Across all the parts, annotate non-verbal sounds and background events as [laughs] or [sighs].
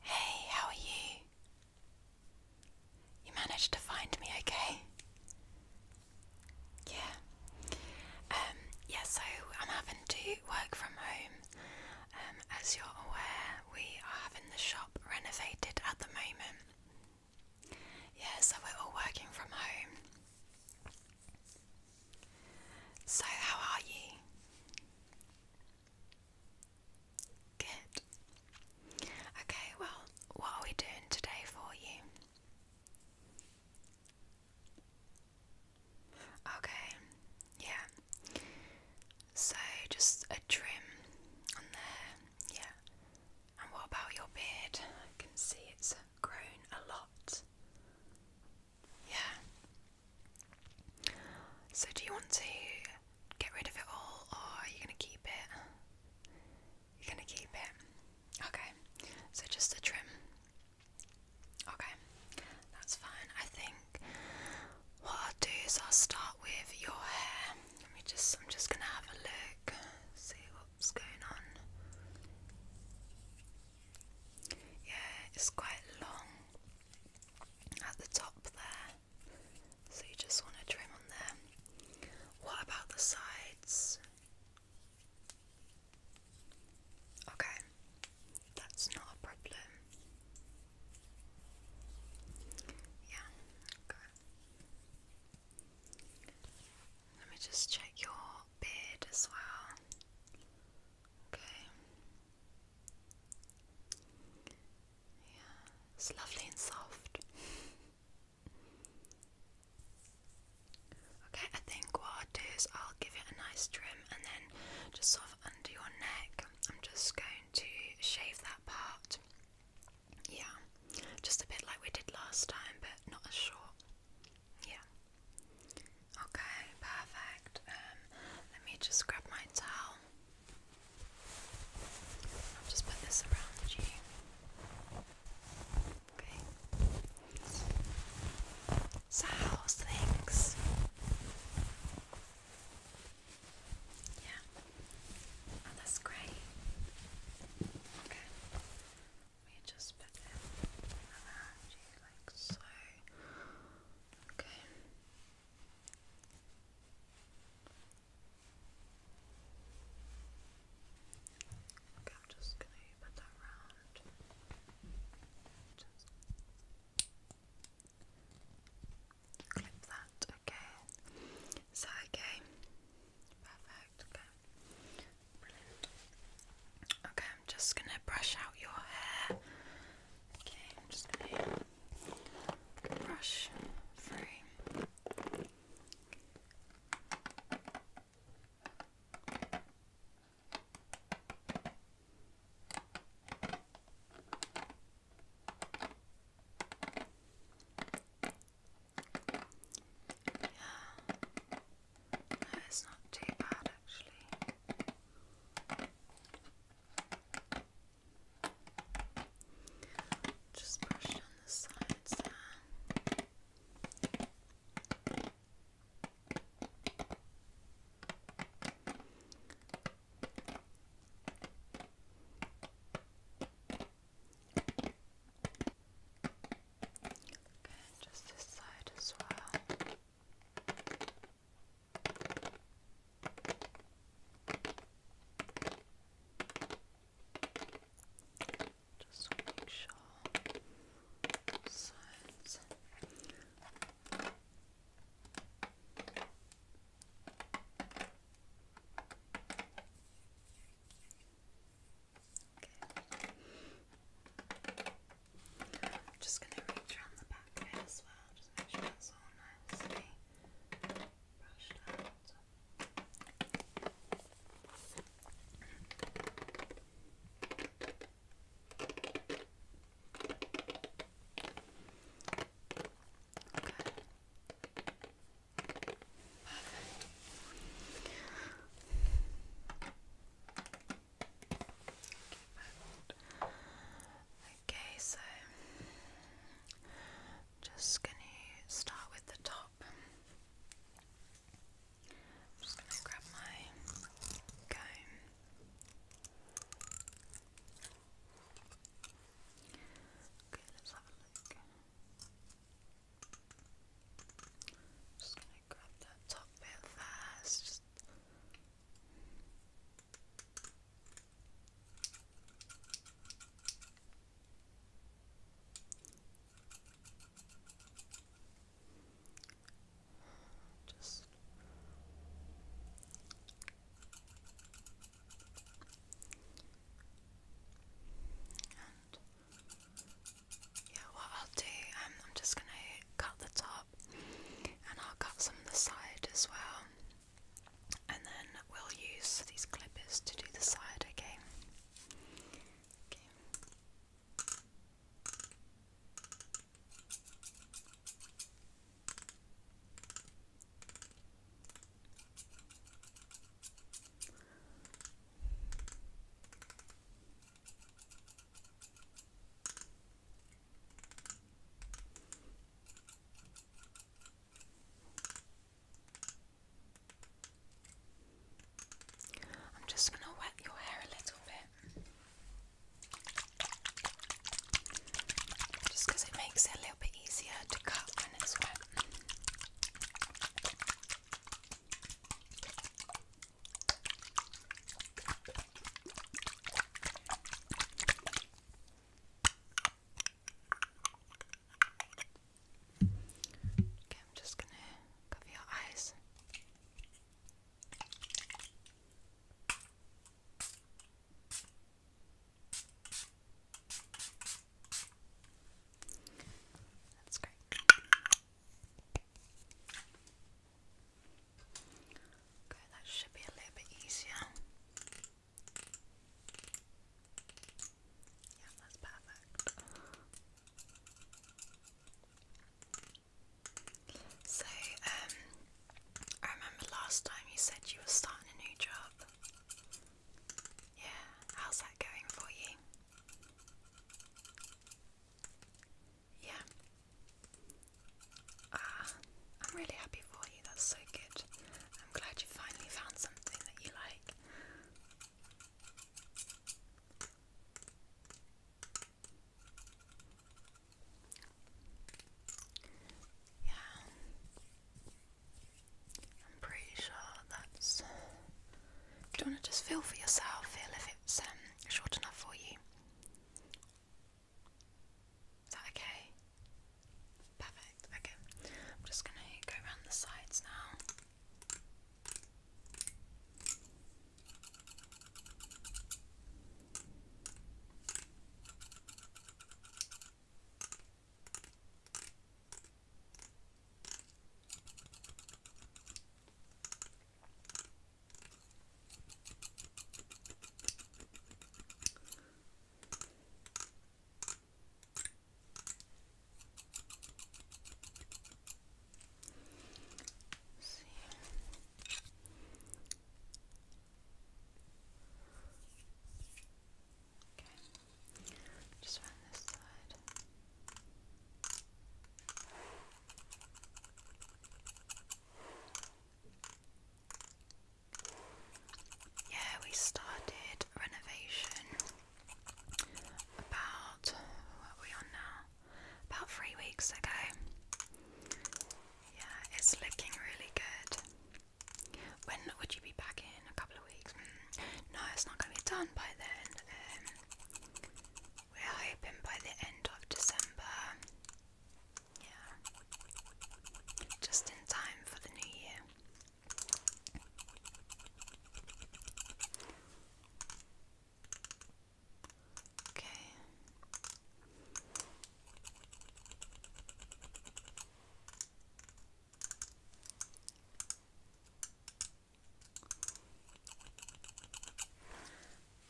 Hey, how are you? You managed to find me, okay? Yeah. Um, so I'm having to work from home. Um, as you're aware, we are having the shop renovated at the moment. Yeah, so we're all working from home. So, how are you? Good. Okay, well, what are we doing today for you? Okay, yeah. So just a trim on there, yeah. And what about your beard? I can see it's grown a lot. Yeah. So, do you want to get rid of it all or are you going to keep it? You're going to keep it. Okay. So, just a trim. Okay. That's fine. I think what I'll do is I'll start with your hair. Let me just, I'm just going to have a look, see what's going on. Yeah, it's quite long at the top there. So you just want to trim on there. What about the sides? Okay, that's not a problem. Yeah, okay. Let me just check your beard as well. Okay. Yeah, it's lovely and soft. [laughs] Okay, I think what I'll do is I'll give it a nice trim and then just sort under your neck, I'm just going to shave that part. Yeah, just a bit like we did last time, but not as short. Yeah. Okay, perfect. Um, let me just grab my towel. I'll just put this around you. Okay. So how's things? Yeah. Oh, that's great. Okay. Let me just put it around you like so. Okay. I'm just gonna put that round. clip that, okay. Is okay? Perfect, okay. Okay. I'm just gonna brush out your hair. Okay, I'm just gonna brush through. Yeah, it's not too bad actually. Just brush on the sides there. Okay, just this side as well. Just make sure sides. Okay. I'm just going to reach around the back bit as well, just make sure that's all nicely brushed out. Okay. Perfect. Okay, so just gonna start with the top. I'm just gonna grab my comb. Okay, let's have a look. just gonna grab that top bit first. Just just yeah, what I'll do, um, I'm just gonna cut the top and I'll cut some of the side as well and then we'll use these clippers to do the side okay Okay. I'm just going to wet your hair a little bit. Just it makes it a little bit easier to cut when it's wet. Okay, I'm just gonna cover your eyes. That's great. Okay, that should be a little bit easier. Yeah, that's perfect. So, um, I remember last time you said you were starting a new job. Yeah, how's that going for you? yeah. Ah, I'm really happy for you. That's so good. I'm glad you finally found something that you like. Yeah. I'm pretty sure that's. Do you want to just feel for yourself? Feel if it's um, short enough for you. Is that okay? Perfect. Okay. I'm just going to go around the sides now. Let's see. Okay. Just around this side. Okay. Yeah, we started renovation about what we on now? About three weeks ago. Yeah, it's looking really good. When would you be back in? A couple of weeks? Mm, no, it's not going to be done by then. Um, we're hoping by the end of December. Yeah. Just in time for the new year. Okay.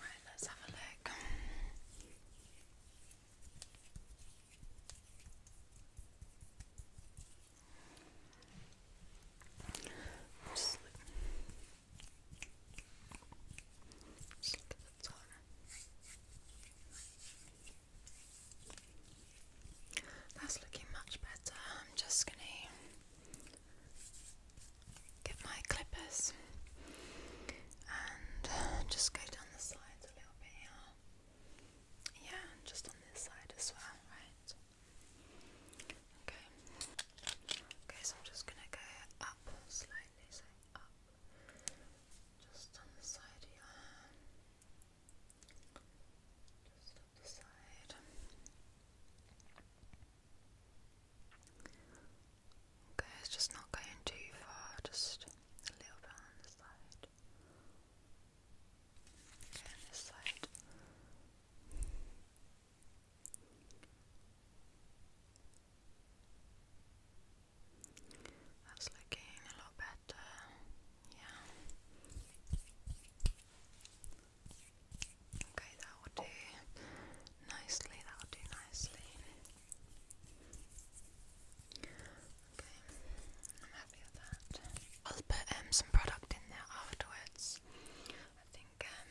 Right, let's have a look. That's looking much better. I'm just gonna get my clippers and just go down the sides a little bit here. Yeah, just on this side as well, right? Okay. Okay, so I'm just gonna go up slightly, so up. Just on the side of Just up the side. Okay, it's just not going too far, just a little bit on the side. Okay, on this side. That's looking a lot better. Yeah. Okay, that will do nicely, that will do nicely. Okay, I'm happy with that. I'll put um, some product in there afterwards. I think um,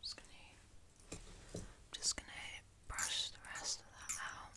just gonna, just gonna brush the rest of that out.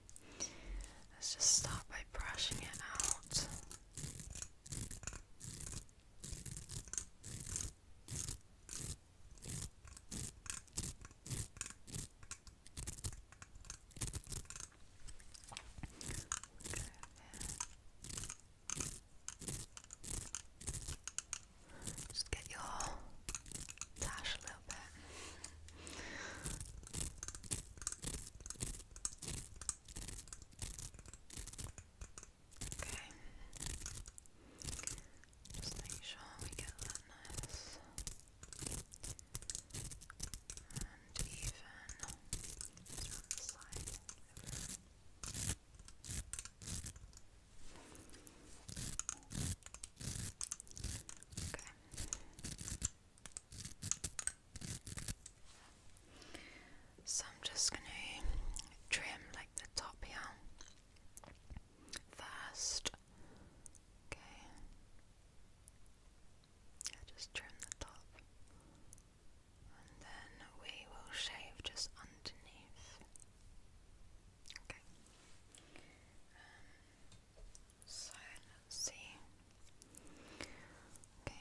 Let's just start by brushing it out. Just get your tash a little bit. Okay. Just make sure we get that nice and even just Okay. So I'm just going to trim like the top here first. Okay. I just trim the top. And then we will shave just underneath. Okay. Um, so let's see. Okay.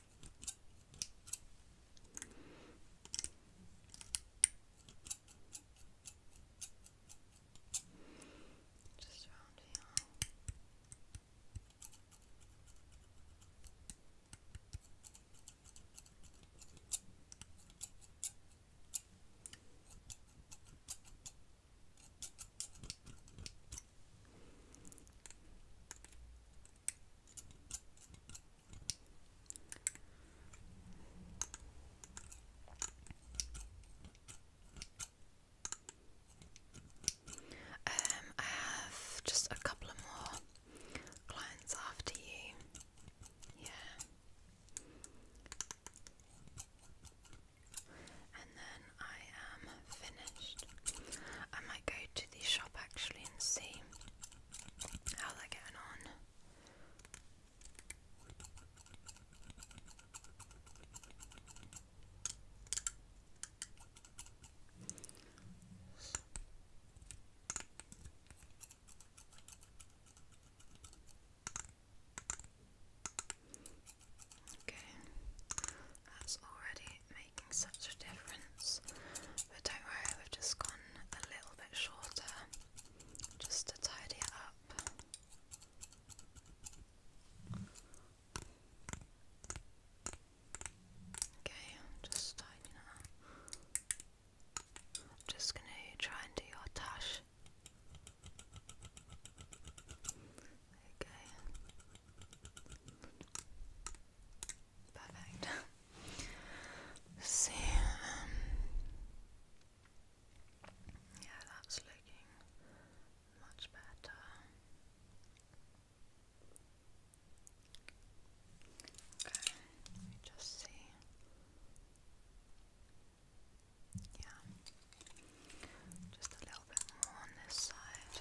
Just around here. Um, I have just a couple more clients after you. Yeah. And then I am finished. I might go to the shop actually and see How's that going on? Okay, that's already making making such a difference. But don't worry, we've just gone a little bit shorter just to tidy up. Okay, just tidying up. just going to try and do your tash. Okay. Perfect. let see. Um, yeah, that's looking much better. Okay, let me just see. Yeah, just a little bit more on this side.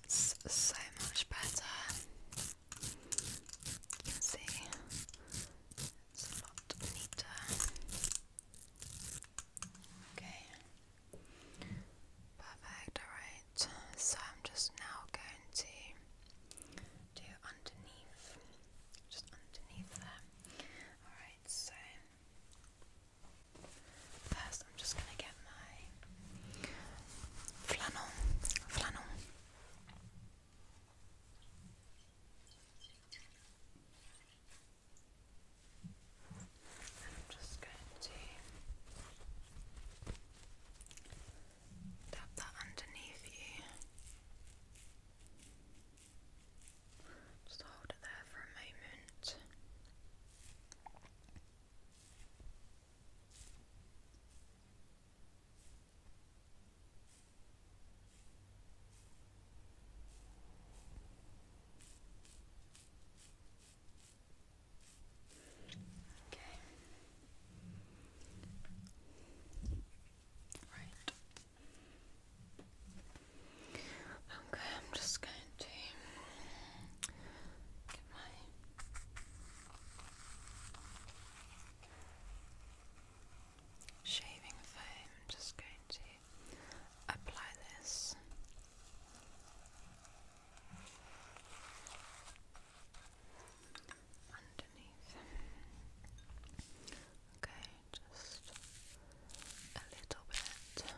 That's so much better. You can see it's a lot neater. Okay. Perfect, alright. So I'm just now going to do underneath. Just underneath there. Alright, so First, I'm just gonna get my flannel, flannel. I'm just going to tap that underneath you. Just hold it there for a moment. Okay. Right. Okay, I'm just going shaving foam. I'm just going to apply this. Underneath. Okay, just a little bit. Okay.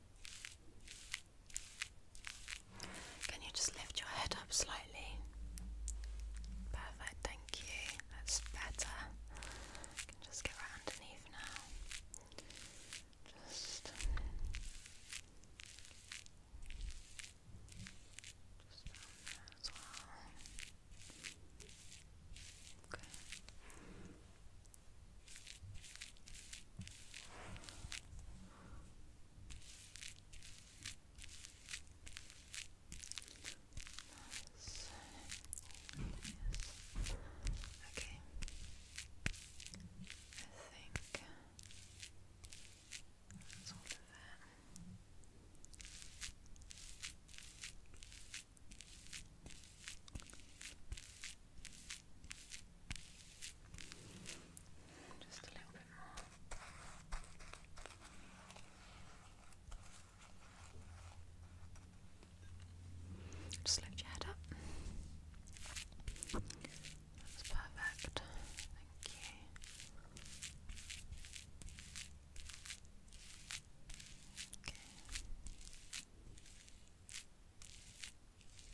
Can you just lift your head up slightly? Perfect, thank you. That's better. can just get right underneath now. Just, just um, as well. Okay. Yes. Okay. I think that's all of that. Just a little bit more. Just lift your head up. perfect. Thank you. Okay.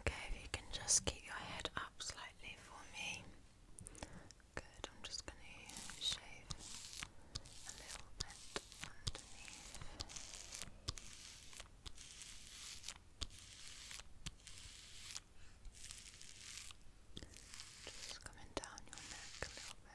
Okay, if you can just keep your head up slightly for me. Good, I'm just going to shave a little bit underneath. Just coming down your neck a little bit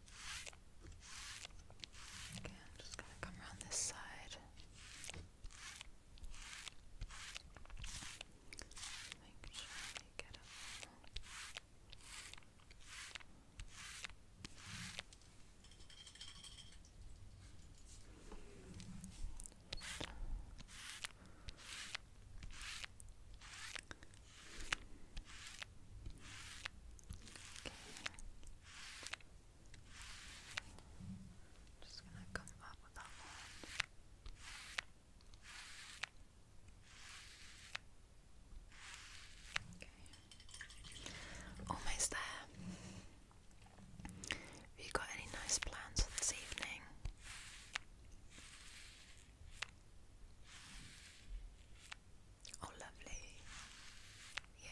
Okay, I'm just gonna come around this side. Make sure you get up. Okay. Just gonna come up with that one. Okay. Almost there. Have you got any nice plans for this evening? Oh, lovely. Yeah.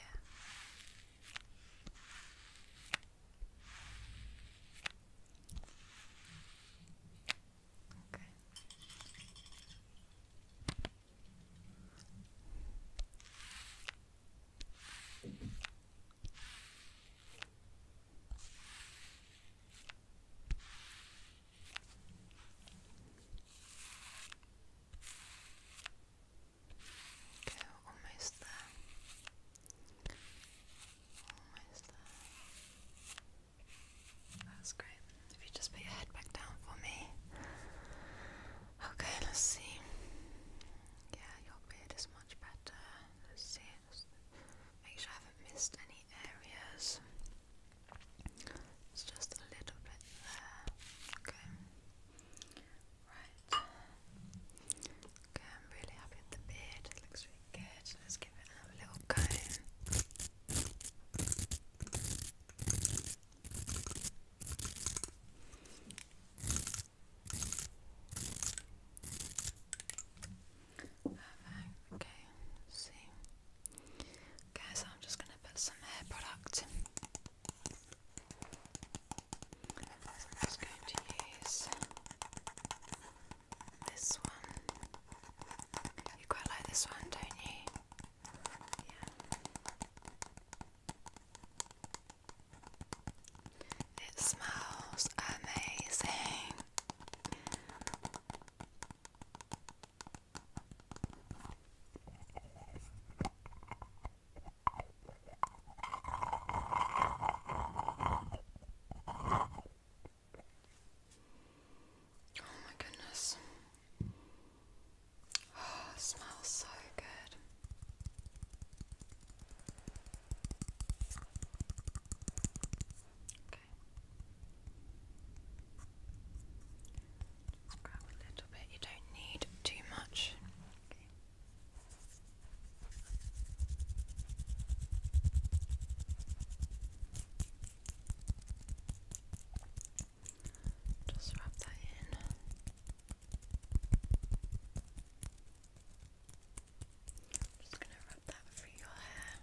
Okay. Okay, almost there. Almost there. That's great. If you just put your head back down for me. Okay, let's see. Yeah, your beard is much better. Let's see. make sure I haven't missed any areas. It's just a little bit there. Okay. Right. Okay, I'm really happy with the beard. It looks really good. Let's give it a little comb. Perfect. Okay, see. Okay, so I'm just going to put some hair product I'm just going to use this one. You quite like this one, don't you? Yeah. It smells amazing. Oh my goodness. Oh, [sighs] it smells so good. Okay a little bit, you don't need too much. Just wrap that in. just going to wrap that through your hair.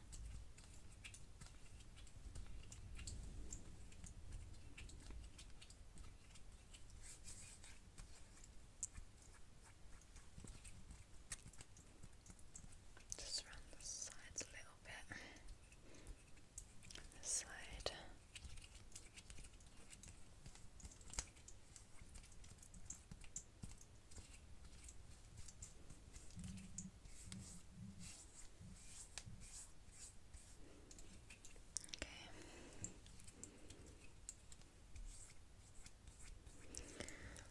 Just around the sides a little bit. this side.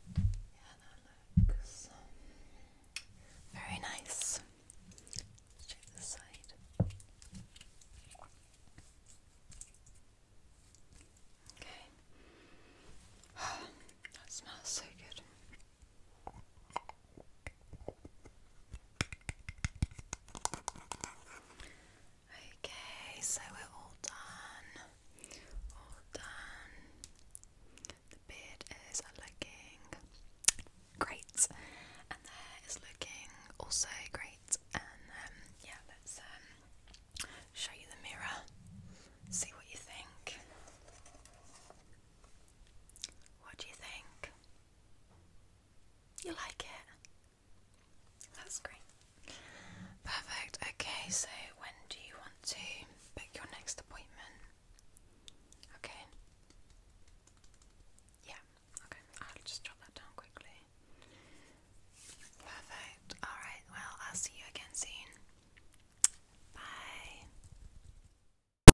Okay. Yeah, that looks [sighs] very nice. Let's check this side. Okay. that smells so good. Okay, so we're all done. All done. The beard is looking great, and the looking also great. And um, yeah, let's um, show you the mirror, see what you think. What do you think? You like it? That's great. Perfect. Okay, so when do you want to book your next appointment? Okay. Yeah, okay. I'll just jot that down quickly. Perfect. Alright, well, I'll see you again soon. Bye.